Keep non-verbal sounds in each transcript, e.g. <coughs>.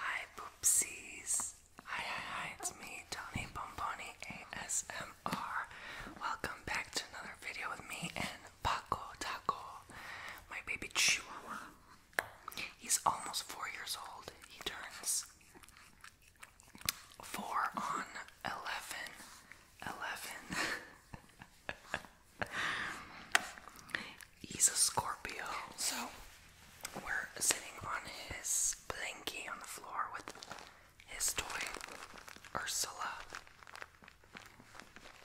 Hi poopsies! Hi hi hi, it's me, Tony Bomboni ASMR. Welcome back to another video with me and Paco Taco, my baby Chihuahua. He's almost four years old. He turns four on eleven. <laughs> He's a Scorpio. So we're sitting on his blankie on the floor with his toy, Ursula.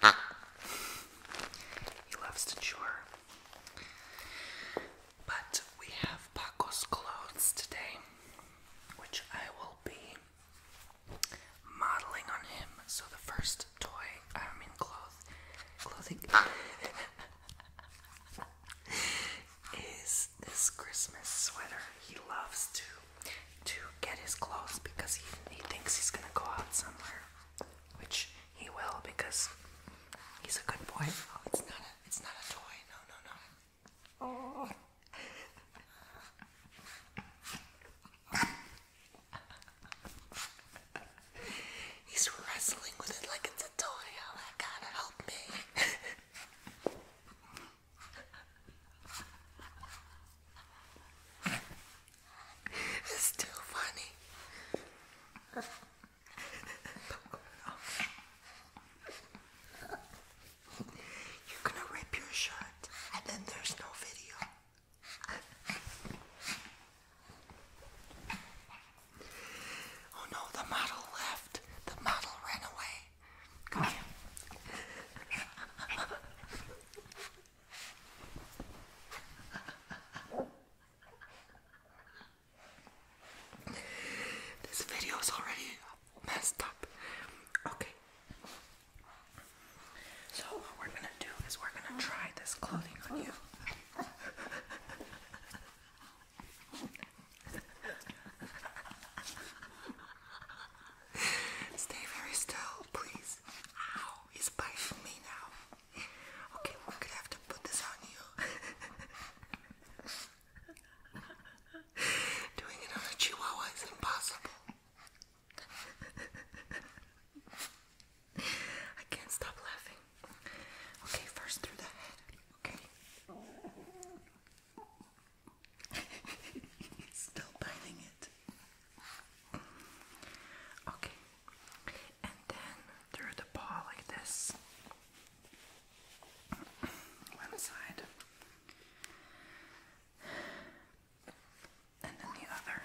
Ah. he loves to chew But we have Paco's clothes today, which I will be modeling on him. So the first toy, I mean cloth, clothing, <laughs> is this Christmas sweater. He loves to to get his clothes because he he thinks he's gonna go out somewhere, which he will because he's a good boy. Oh, it's not a it's not a toy. No, no, no. Oh. <laughs> <laughs> He's wrestling with it like it's a toy. Oh, gotta help me. <laughs> it's too funny. <laughs> You're gonna rip your shirt, and then there's no video. Oh no, the model left. The model ran away. Come here. This video is already messed up. Okay. So what we're gonna do is we're gonna try this clothing on you. Stay very still, please. Ow, he's biting me now. Okay, we're gonna have to put this on you. <laughs> Doing it on a chihuahua is impossible. I can't stop laughing. Okay, first through the head. Okay. <laughs> Still biting it. Okay. And then through the paw like this. One side and then the other.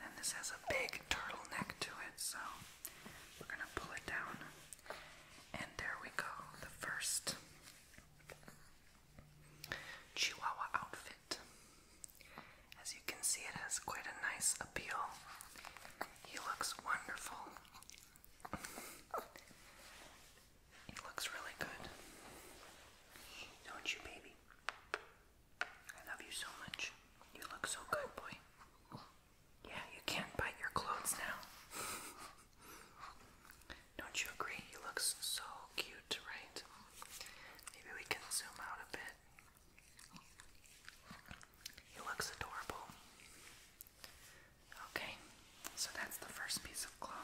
then this has a big turtleneck to it, so we're going to pull it down. And there we go, the first Chihuahua outfit. As you can see, it has quite a nice appeal. He looks wonderful. It looks really good. Don't you, baby? I love you so much. You look so good, boy. Yeah, you can't bite your clothes now. <laughs> Don't you agree? He looks so cute, right? Maybe we can zoom out a bit. He looks adorable. Okay, so that's the first piece of clothing.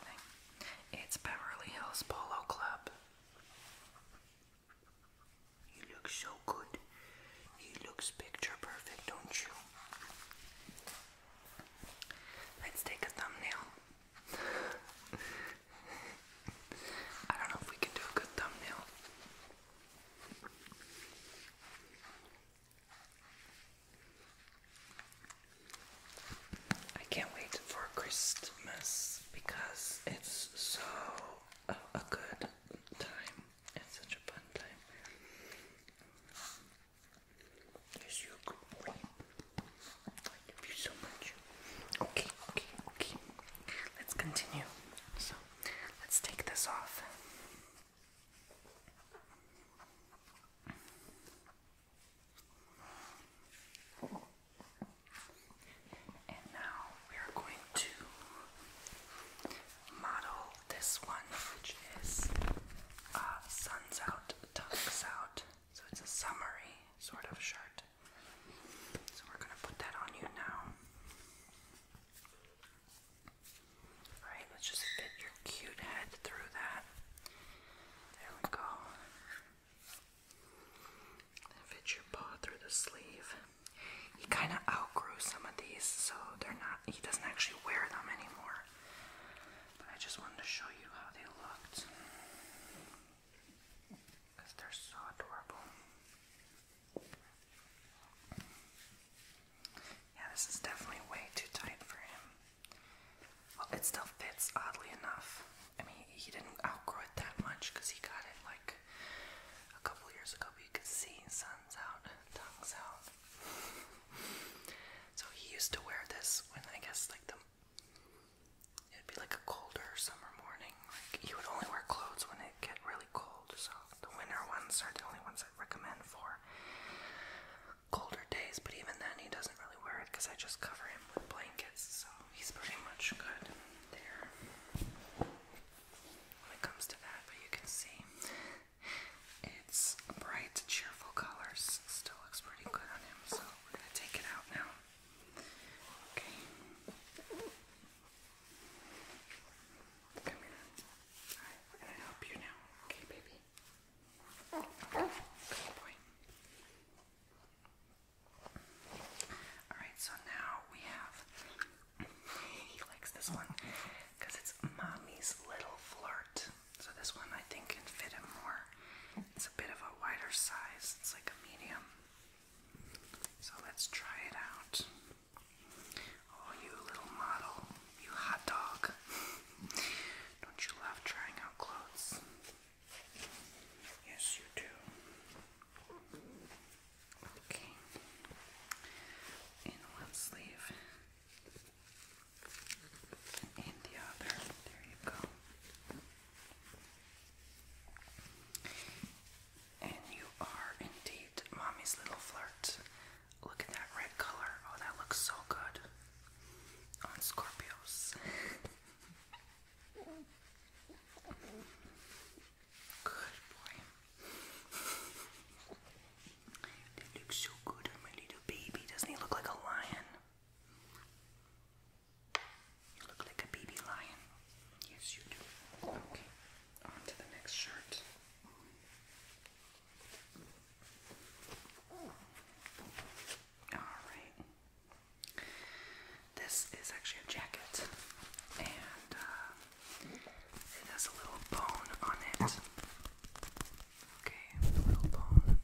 It's Beverly Hills Polo Club. You look so good. He looks picture perfect, don't you? Let's take a thumbnail. <laughs> I don't know if we can do a good thumbnail. I can't wait for Christmas because it's so a, good time. It's such a fun time. Yes, you're I love you so much. Okay, okay, okay. Let's continue. So, let's take this off. And now we are going to model this one, which is uh, Sun's Out, Tucks Out. So it's a summery sort of shirt. So we're going to put that on you now. Alright, let's just fit your cute head through that. There we go. And fit your paw through the sleeve. He kind of outgrew some of these, so they're not, he doesn't actually wear them anymore. But I just wanted to show you how they looked. they're so adorable. Yeah, this is definitely way too tight for him. Well, it still fits, oddly enough. I mean, he didn't outgrow it that much because he got it like a couple years ago, but you could see sun's out, tongue's out. so he used to wear this when I guess like the it'd be like a colder summer morning. Like he would only wear clothes when it get really cold. So the winter ones are the only ones recommend for colder days, but even then he doesn't really wear it because I just cover him with blankets, so he's pretty much good there when it comes to that. But you can see it's bright, cheerful colors, still looks pretty good on him, so we're gonna take it out now. Okay. Come here. I'm gonna help you now. Okay, baby. Good boy. Alright, so now we have. <laughs> he likes this one because it's Mommy's Little Flirt. So this one I think can fit him more. It's a bit of a wider size, it's like a medium. So let's try it out. Oh, you little model, you hot dog. <laughs> Don't you love trying out clothes? Yes, you do. Okay. In one sleeve, in the other. There you go. And you are indeed mommy's little flirt. Look at that red color. Oh, that looks so good on Scorpios. good boy. That looks so good on my little baby. Doesn't he look like a lion? You look like a baby lion. Yes, you do. Okay on the next shirt. Alright. This is actually a jacket, and uh, it has a little bone on it. Okay, little bone.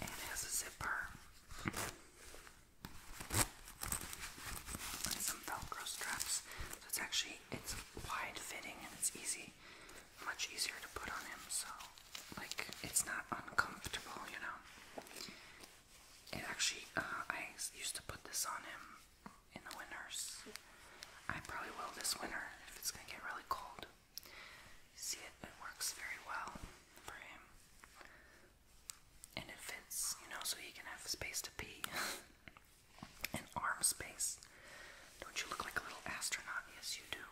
And it has a zipper. some Velcro straps. it's actually, it's wide fitting and it's easy, much easier to put on him. So, like, it's not uncomfortable, you know. It actually, uh, I used to put this on him in the winters. I probably will this winter if it's gonna get really cold. See, it works very well for him. And it fits, you know, so he can have space to pee. <laughs> and arm space. Don't you look like a little astronaut? Yes, you do.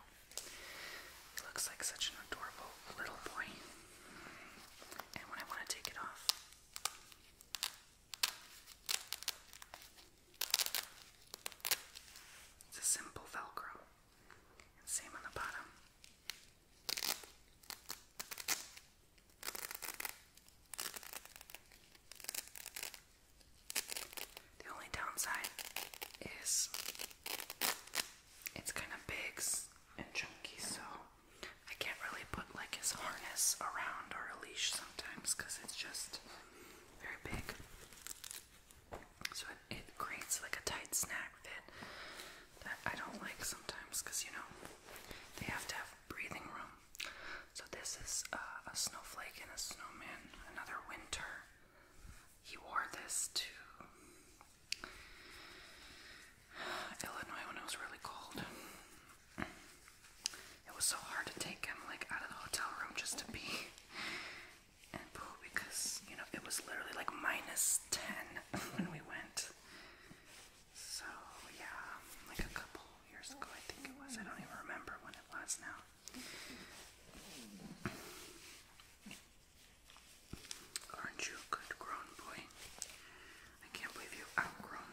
He looks like such an adorable little boy. And when I want to take it off, it's a simple Velcro. same on the bottom. The only downside is it's kind of big and chunky, so I can't really put like his harness around or a leash sometimes because it's just very big. So it, creates like a tight snag fit that I don't like sometimes because you know they have to have breathing room so this is uh, a snowflake and a snowman. Another winter. He wore this to Illinois when it was really cold. It was so hard to take him like out of the hotel room just to be and because you know it was literally like minus ten <laughs> when we went. So yeah, like a couple years ago I think it was. I don't even remember when it was now. Aren't you a good grown boy? I can't believe you've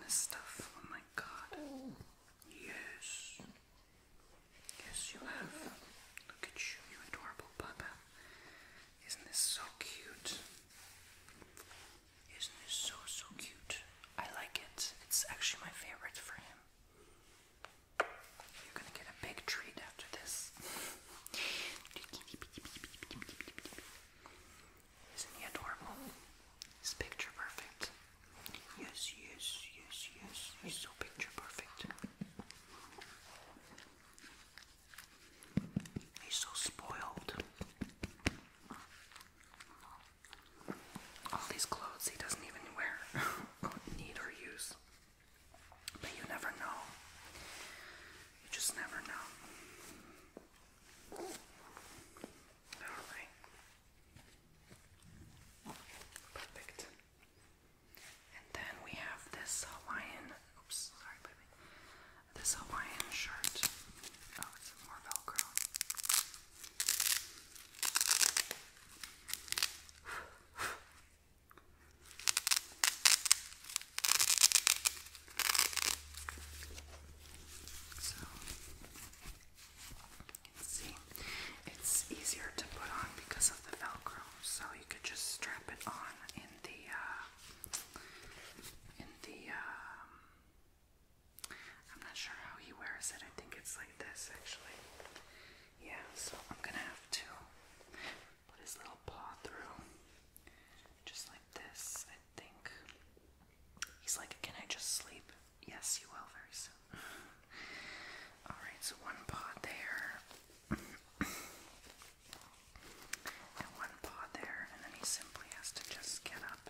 this stuff. Oh my god. Yes. Yes, you have. Look at you, you adorable papa. Isn't this so cute? Isn't this so, so cute? I like it. It's actually my favorite for him. You're gonna get a big treat after this. Isn't he adorable? He's picture perfect. Yes, yes, yes, yes. He's so picture perfect. He's so spoiled. All these clothes he doesn't even wear, <laughs> need, or use. But you never know. You just never know. Alright. Perfect. And then we have this Hawaiian Oops, sorry, baby. This Hawaiian shirt. Oh, it's more Velcro. So, let's see, it's easier to put on because of the Velcro, so you could just strap it on in the uh, the um, I'm not sure how he wears it. I think it's like this actually. Yeah, so I'm gonna have to put his little paw through. Just like this, I think. He's like, Can I just sleep? Yes, you will very soon. <laughs> Alright, so one paw there. <clears throat> and one paw there, and then he simply has to just get up.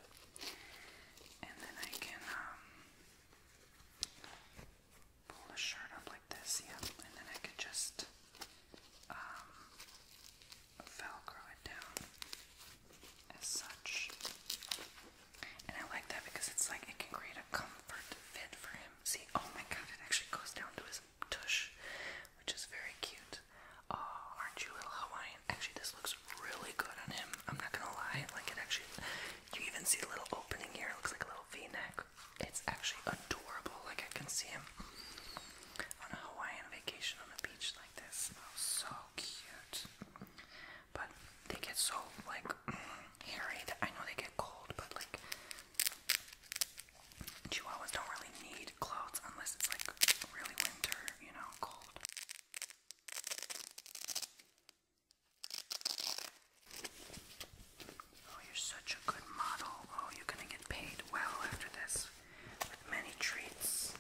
And then I can um, pull the shirt up like this, yeah, and then I could just um, velcro it down as such. And I like that because it's like it can create a comfort fit for him. See, oh my god, it actually goes down to his tush, which is very cute. Oh, aren't you a little Hawaiian? Actually, this looks really good on him. I'm not gonna lie. Like it actually, you even see the little opening here. It looks like a little V-neck. It's actually adorable. Like I can see him on a Hawaiian vacation on the beach like this. Oh, so cute. But they get so like <clears throat> hairy. I know they get cold, but like Chihuahuas don't really need clothes unless it's like really winter, you know, cold. Oh, you're such a good model. Oh, you're gonna get paid well after this many treats.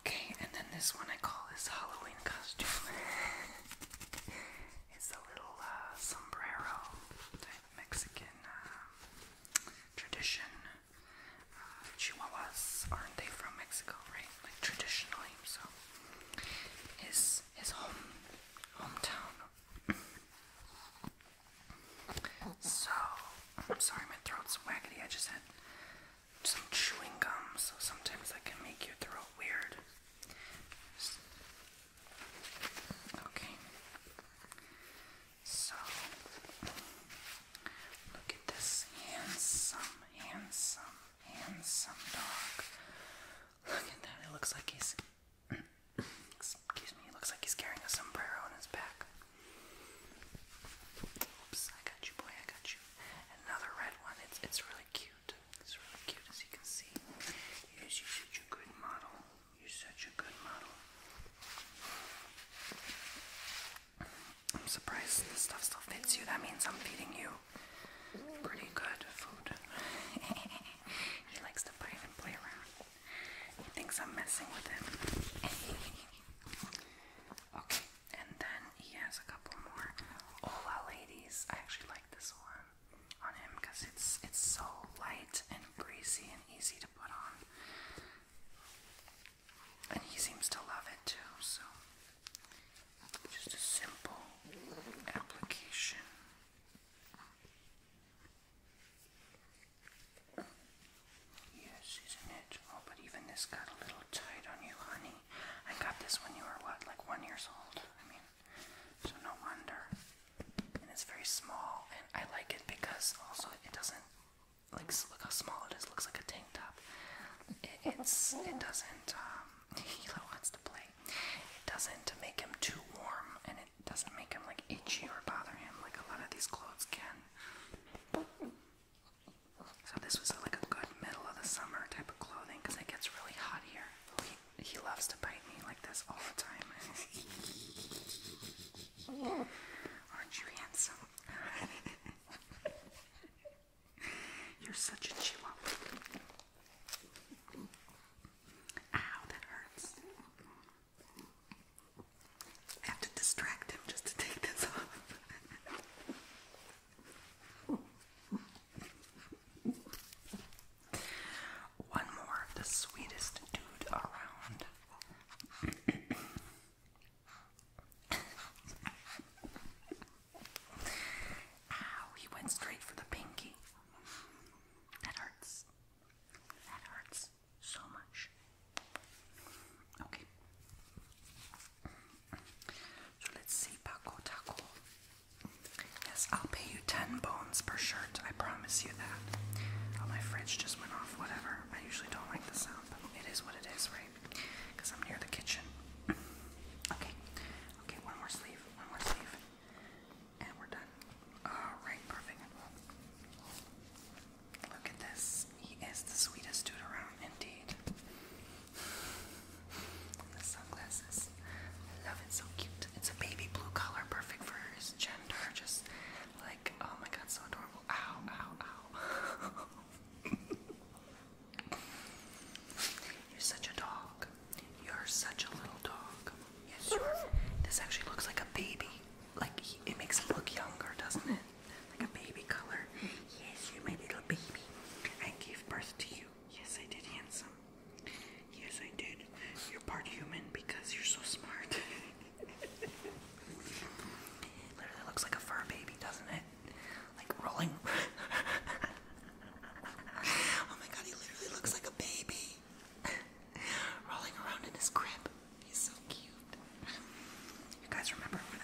Okay, and then this one I call his Halloween costume. <laughs> it's a little uh, sombrero Mexican uh, tradition. Uh, Chihuahuas aren't they from Mexico, right? Like traditionally. So his his home hometown. so I'm sorry, my throat's waggity. I just had some chewing gum, so sometimes I can make your throat weird. Okay. So look at this handsome, handsome, handsome dog. Look at that. It looks like he's <coughs> excuse me, it looks like he's carrying a sombrero on his back. Oops, I got you boy, I got you. Another red one. It's it's really cute. It's really cute as you can see. Yes, you're such a good model. You're such a good model. I'm surprised this stuff still fits you. That means I'm feeding you pretty good food. <laughs> he likes to bite and play around. He thinks I'm messing with him. <laughs> okay, and then he has a couple more Ola ladies. I actually like this one on him because it's it's so light and breezy and easy to put on. And he seems to love it too, so just a simple application. Yes, isn't it? Oh, but even this got a little tight on you, honey. I got this when you were what, like one years old? I mean, so no wonder. And it's very small, and I like it because also it doesn't like look how small it is. It looks like a tank top. It, it's it doesn't. Um, <laughs> wants to play. It doesn't make him too warm, and it doesn't make him like itchy or bother him like a lot of these clothes can. So this was like a good middle of the summer type of clothing because it gets really hot here. He loves to bite me like this all the time. <laughs> Aren't you handsome? <laughs> You're such a chihuahua. Ow, that hurts. I have to distract him just to take this off. <laughs> One more, the sweetest dude around. Ow, he went straight for the pinky. That hurts. That hurts so much. Okay. So let's see, Paco Taco. Yes, I'll pay you 10 bones per shirt, I promise you that. Oh, my fridge just went off, whatever. I usually don't like the sound, but it is what it is, right? Because I'm near the kitchen. <clears throat> okay, okay, one more sleeve, one more sleeve. And we're done. Alright, perfect. Look at this. He is the sweetest dude around, indeed. The sunglasses. love it, so cute. It's a baby blue color, perfect for his gender. Just like, oh my god, so adorable. Ow, ow, ow. <laughs> You're such a dog. You're such a little dog. Yes, you are. This actually looks like a baby. Like, it makes him look younger, doesn't it? Like a baby color. Yes, you're my little baby. I gave birth to you Yes, I did, handsome. Yes, I did. You're part human because you're so smart. <laughs> Literally looks like a fur baby, doesn't it? Like rolling. <laughs> oh my god, he literally looks like a baby. <laughs> rolling around in his crib. He's so cute. You guys remember when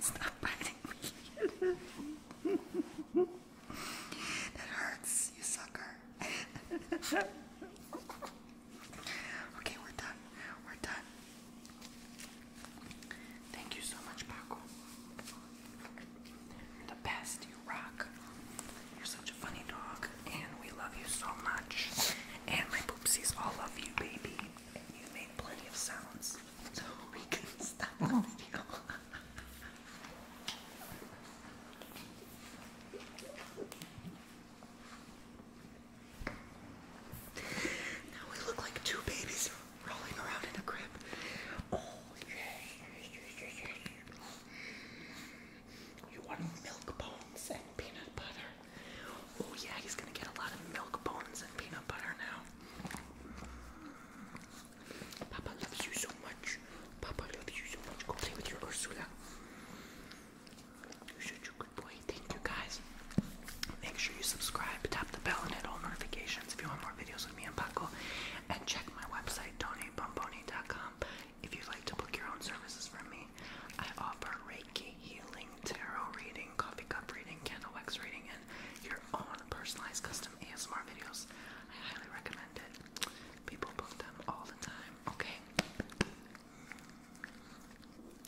stop biting that hurts, you sucker. okay, we're done. We're done. Thank you so much, Paco. You're the best, you rock. You're such a funny dog, and we love you so much. And my poopsies all love you, baby. you made plenty of sounds stop the video. now we look like two babies rolling around in a crib. Oh, yeah. You want milk bones and peanut butter? Oh, yeah, he's gonna get a lot of milk bones and peanut butter now. Papa loves you so much. Papa loves you so much. Go play with your Ursula. You're such a good boy. Thank you guys. Make sure you subscribe, tap the bell, and hit all notifications if you want more videos with me and Paco. And check my website, donatebomboni.com, if you'd like to book your own services from me. I offer Reiki healing tarot reading, coffee cup reading, candle wax reading, and your own personalized custom ASMR videos. I highly recommend it. People book them all the time, okay?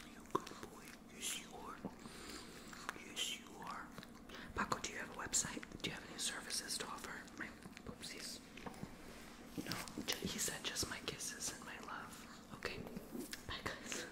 You Yes, you are. Yes, you are. Paco, do you have a website? Do you have any services to offer? oopsies. No, he said just my kisses and my love. Okay, bye guys.